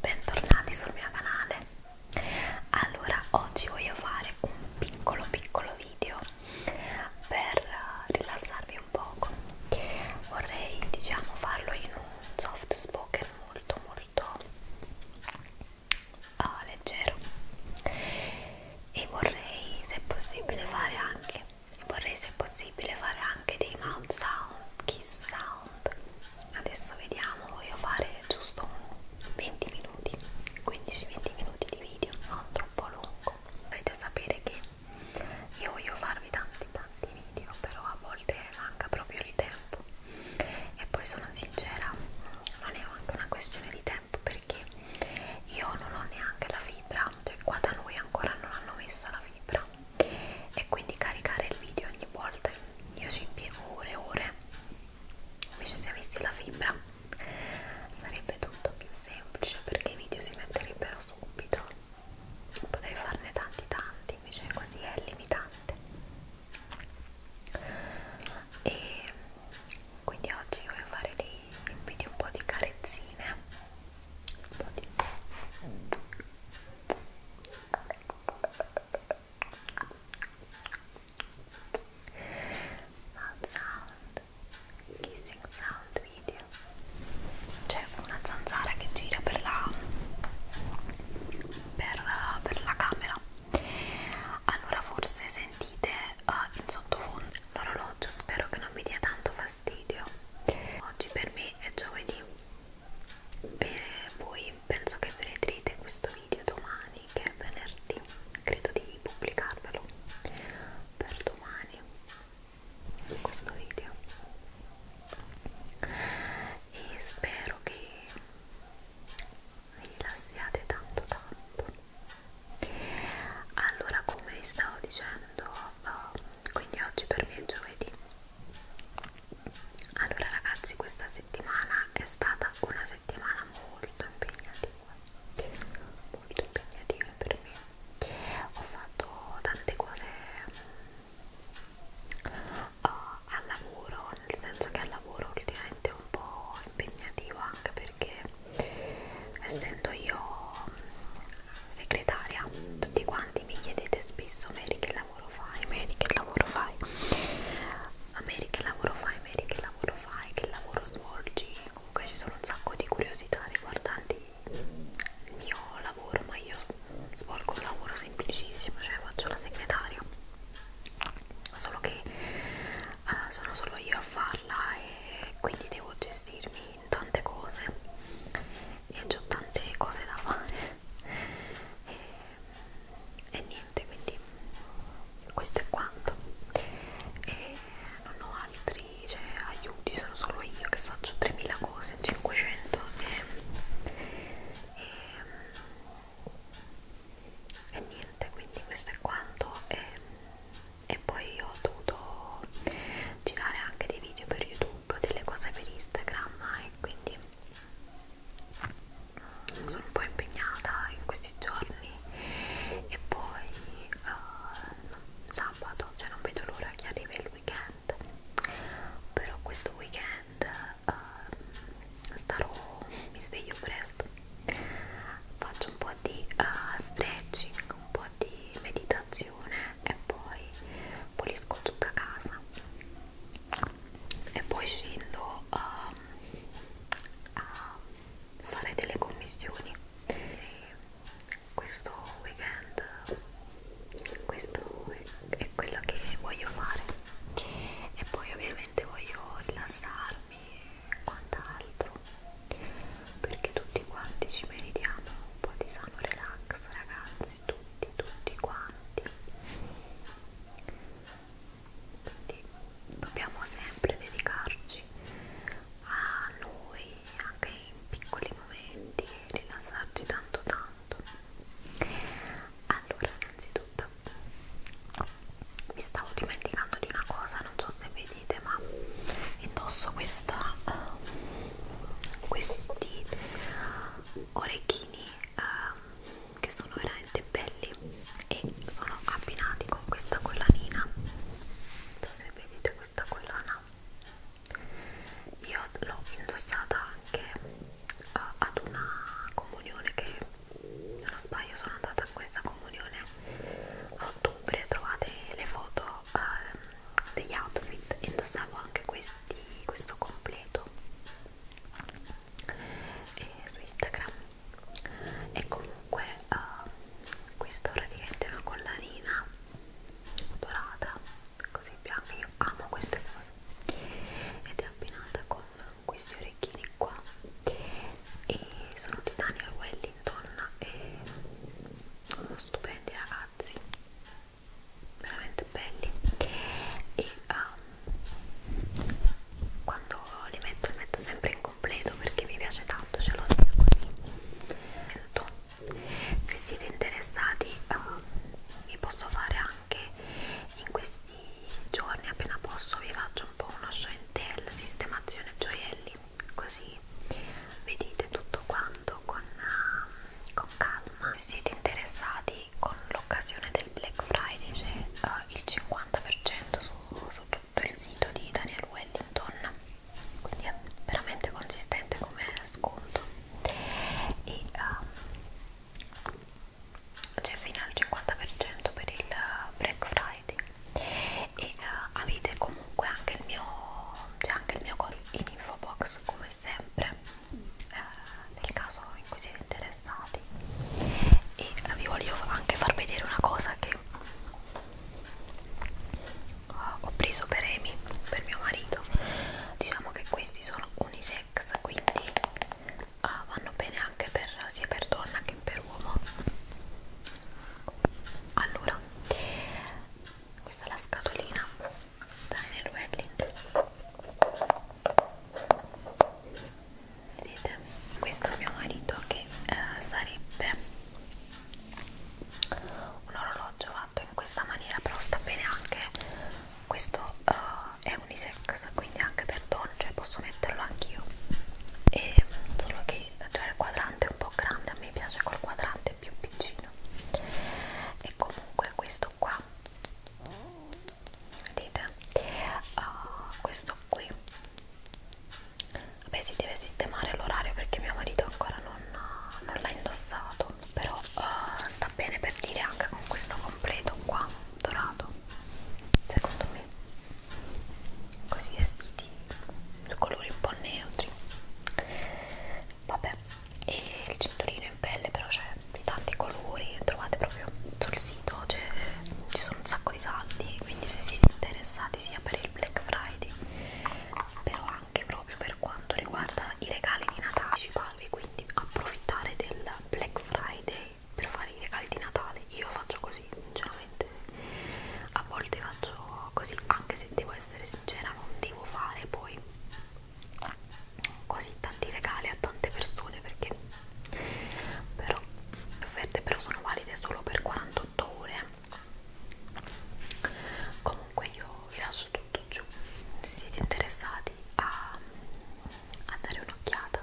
Bentornati sul mio canale. Allora, oggi voglio fare un piccolo piccolo video per eh, rilassarvi un poco. Vorrei, diciamo, farlo in un soft spoken molto molto uh, leggero e vorrei, se possibile, fare anche vorrei se possibile fare anche dei mouth sound, kiss sound adesso vediamo voglio fare giusto 20 minuti 15-20 minuti di video non troppo lungo dovete sapere che io voglio farvi tanti tanti video però a volte manca proprio il tempo e poi sono sincera non è anche una questione di tempo perché io non ho neanche la fibra cioè qua da noi ancora non hanno messo la fibra ora e quindi caricare il video ogni volta io ci impiego ore e ore invece se avessi la fibra sarebbe tutto più semplice perché i video si metterebbero subito potrei farne tanti tanti invece così è limitante e quindi oggi voglio fare dei video un po' di carezzine un po' di Mouth sound, kissing sound video. C'è una zanzara che gira per la, per, per la camera. Allora forse sentite uh, in sottofondo l'orologio, spero che non vi dia tanto fastidio. Oggi per me è giovedì e poi penso che vedrete questo video domani che è venerdì credo di pubblicarvelo per domani questo video e spero che vi rilassiate tanto tanto allora come vi stavo dicendo uh, quindi oggi per me è giovedì allora ragazzi questa settimana è stata una settimana molto impegnativa molto impegnativa per me ho fatto tante cose uh, al lavoro nel senso che al lavoro ultimamente è un po' impegnativo anche perché essendo io mm, segretaria tutti quanti mi chiedete spesso Mary che la lavoro fai, Mary che lavoro fai Mary che lavoro fai, Mary che lavoro fai, che lavoro svolgi comunque ci sono un sacco di curiosità riguardanti il mio lavoro ma io svolgo un lavoro semplicissimo cioè faccio la segretaria solo che uh, sono solo io a farla e quindi devo gestirmi in tante cose e ho tante cose da fare e, e niente quindi questo è quanto e non ho altri cioè, aiuti sono solo io che faccio 3000 cose 500 e, e, e niente quindi questo è quanto e, e poi ho dovuto girare anche dei video per youtube un po' delle cose per Instagram e quindi sono un po' impegnata in questi giorni e poi uh, sabato, cioè non vedo l'ora che arrivi il weekend però questo weekend uh, starò, mi sveglio presto faccio un po' di uh, stretching, un po' di meditazione colazione e poi pulisco tutta casa e poi scendo a, ehm, a fare delle commissioni e questo weekend questo è quello che voglio fare e poi ovviamente voglio rilassarmi e quant'altro perché tutti quanti ci meritiamo un po' di sano relax ragazzi ragazzi tutti tutti quanti quindi dobbiamo sempre dedicarci a noi anche in piccoli momenti e rilassarci tanto tanto allora innanzitutto mi stavo dimenticando di una cosa non so se vedete ma indosso questa uh, questi orecchini um, che sono veramente belli e sono abbinati con questa collanina non so se vedete questa collana io l'ho indossata anche uh, ad una comunione che se non sbaglio sono andata a questa comunione a ottobre trovate le foto ho ehm, degli outfit indossavo anche questi, questo completo e eh, su Instagram e comunque ehm, questa praticamente è una collanina dorata così bianca io amo queste cose ed è abbinata con questi orecchini qua e sono di Daniel Wellington e sono stupendi ragazzi veramente belli e um, quando li metto li metto sempre in completo perché mi piace tanto ce l'ho sia così se siete interessati um, vi posso fare anche in questi giorni appena posso vi faccio un po' uno show and tell sistemazione gioielli così vedete tutto quanto con, uh, con calma. Se siete interessati con l'occasione del Black Friday c'è uh, il 50% su, su tutto il sito di Daniel Wellington, quindi è veramente consistente come sconto. E, um, c'è fino al 50% per il Black Friday e uh, avete comunque anche il mio c'è anche il mio in info box come sempre eh, nel caso in cui siete interessati e vi voglio anche far vedere una cosa che ho preso per Amy, per mio marito diciamo che questi sono unisex quindi uh, vanno bene anche per, sia per donna che per uomo allora questa è la scatolina Daniel Welling vedete? questo è mio marito che eh, sarebbe un orologio fatto in questa maniera però sta bene anche questo eh, è unisex quindi anche per donne cioè posso metterlo anch'io e solo che cioè, il quadrante è un po' grande a me piace col quadrante leggermente più piccino e comunque questo qua vedete uh, questo qui vabbè si deve sistemare l'orario perché mio marito ancora non, non l'ha indossato però uh, sta bene per dire anche con questo completo qua dorato secondo me così vestiti su colori un po' neutri vabbè e il cinturino in pelle però c'è di tanti colori trovate proprio sul sito cioè, ci sono un sacco di saldi quindi se siete interessati sia per il Black Friday però anche proprio per quanto riguarda i regali di Natale ci parli quindi approfittare del Black Friday per fare i regali di Natale io faccio così sinceramente a volte faccio così anche se devo essere sincera non devo fare poi così tanti regali a tante persone perché però le offerte però sono valide solo per 48 ore comunque io vi lascio tutto giù se siete interessati a, a dare un'occhiata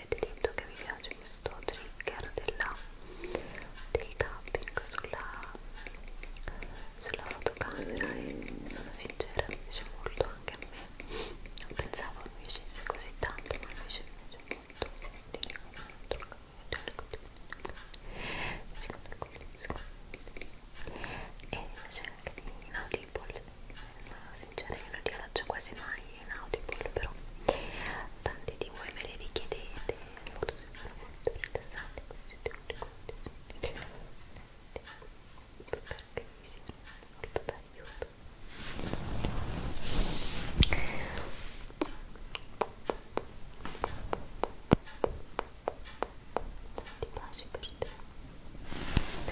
avete detto che vi piace questo trigger della, dei tapping sulla, sulla fotocamera e sono sincera mi piace molto anche a me non pensavo mi piacesse così tanto ma invece mi piace molto e c'è anche di Audible sono sincera io non li faccio quasi mai in Audible però tanti di voi me le richiedete molto sembrano molto rilassanti questi tutti questi spero che vi siano molto d'aiuto tanti baci per te per te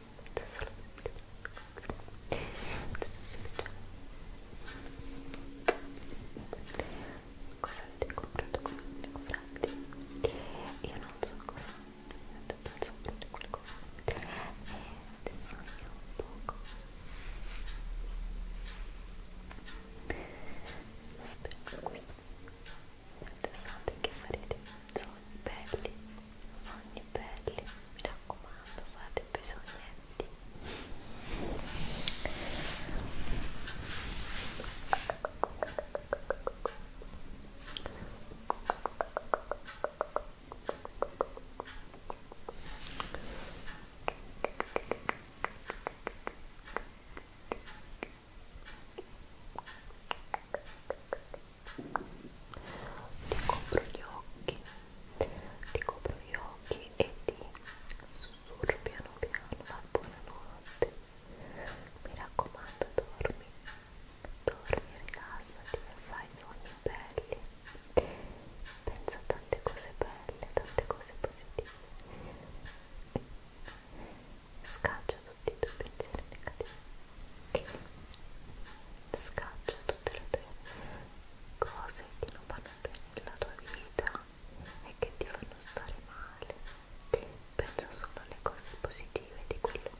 Cosa avete comprato con i miei confratti? Io non so cosa, penso prendere qualcosa e adesso io un poco spero questo pensate che farete sogni belli sogni belli mi raccomando fate i sognetti Ecco ti copro gli occhi ti copro gli occhi e ti sussurro piano piano buonanotte mi raccomando dormi dormi rilassati e fai sogni belli pensa a tante cose belle tante cose positive scaccia tutti i tuoi pensieri negativi che scaccia tutte le tue cose che non vanno bene nella tua vita e che ti fanno stare male pensa solo alle cose positive di quello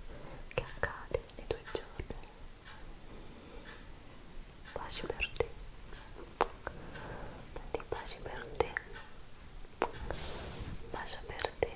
che accade nei tuoi giorni pace per te tanti baci per te bacio per te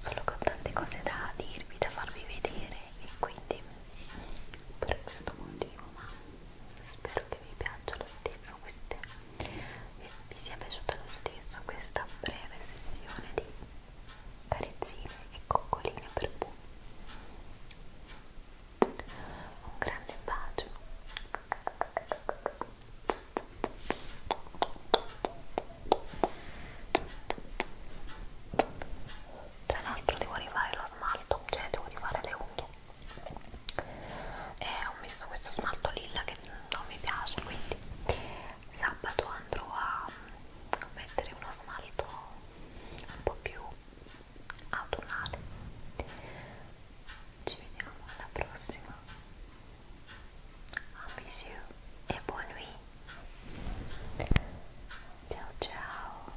Solo con tante cose da dirvi, da farvi vedere e quindi per questo motivo, ma spero che vi piaccia lo stesso, queste, vi sia piaciuta lo stesso questa breve sessione di carezzine e coccoline per Bu. Un grande bacio. Tra l'altro devo rifare lo smalto, cioè devo rifare le unghie. E ho messo questo smalto lilla che non mi piace, quindi sabato andrò a mettere uno smalto un po' più autunnale ci vediamo alla prossima amici e buon week ciao ciao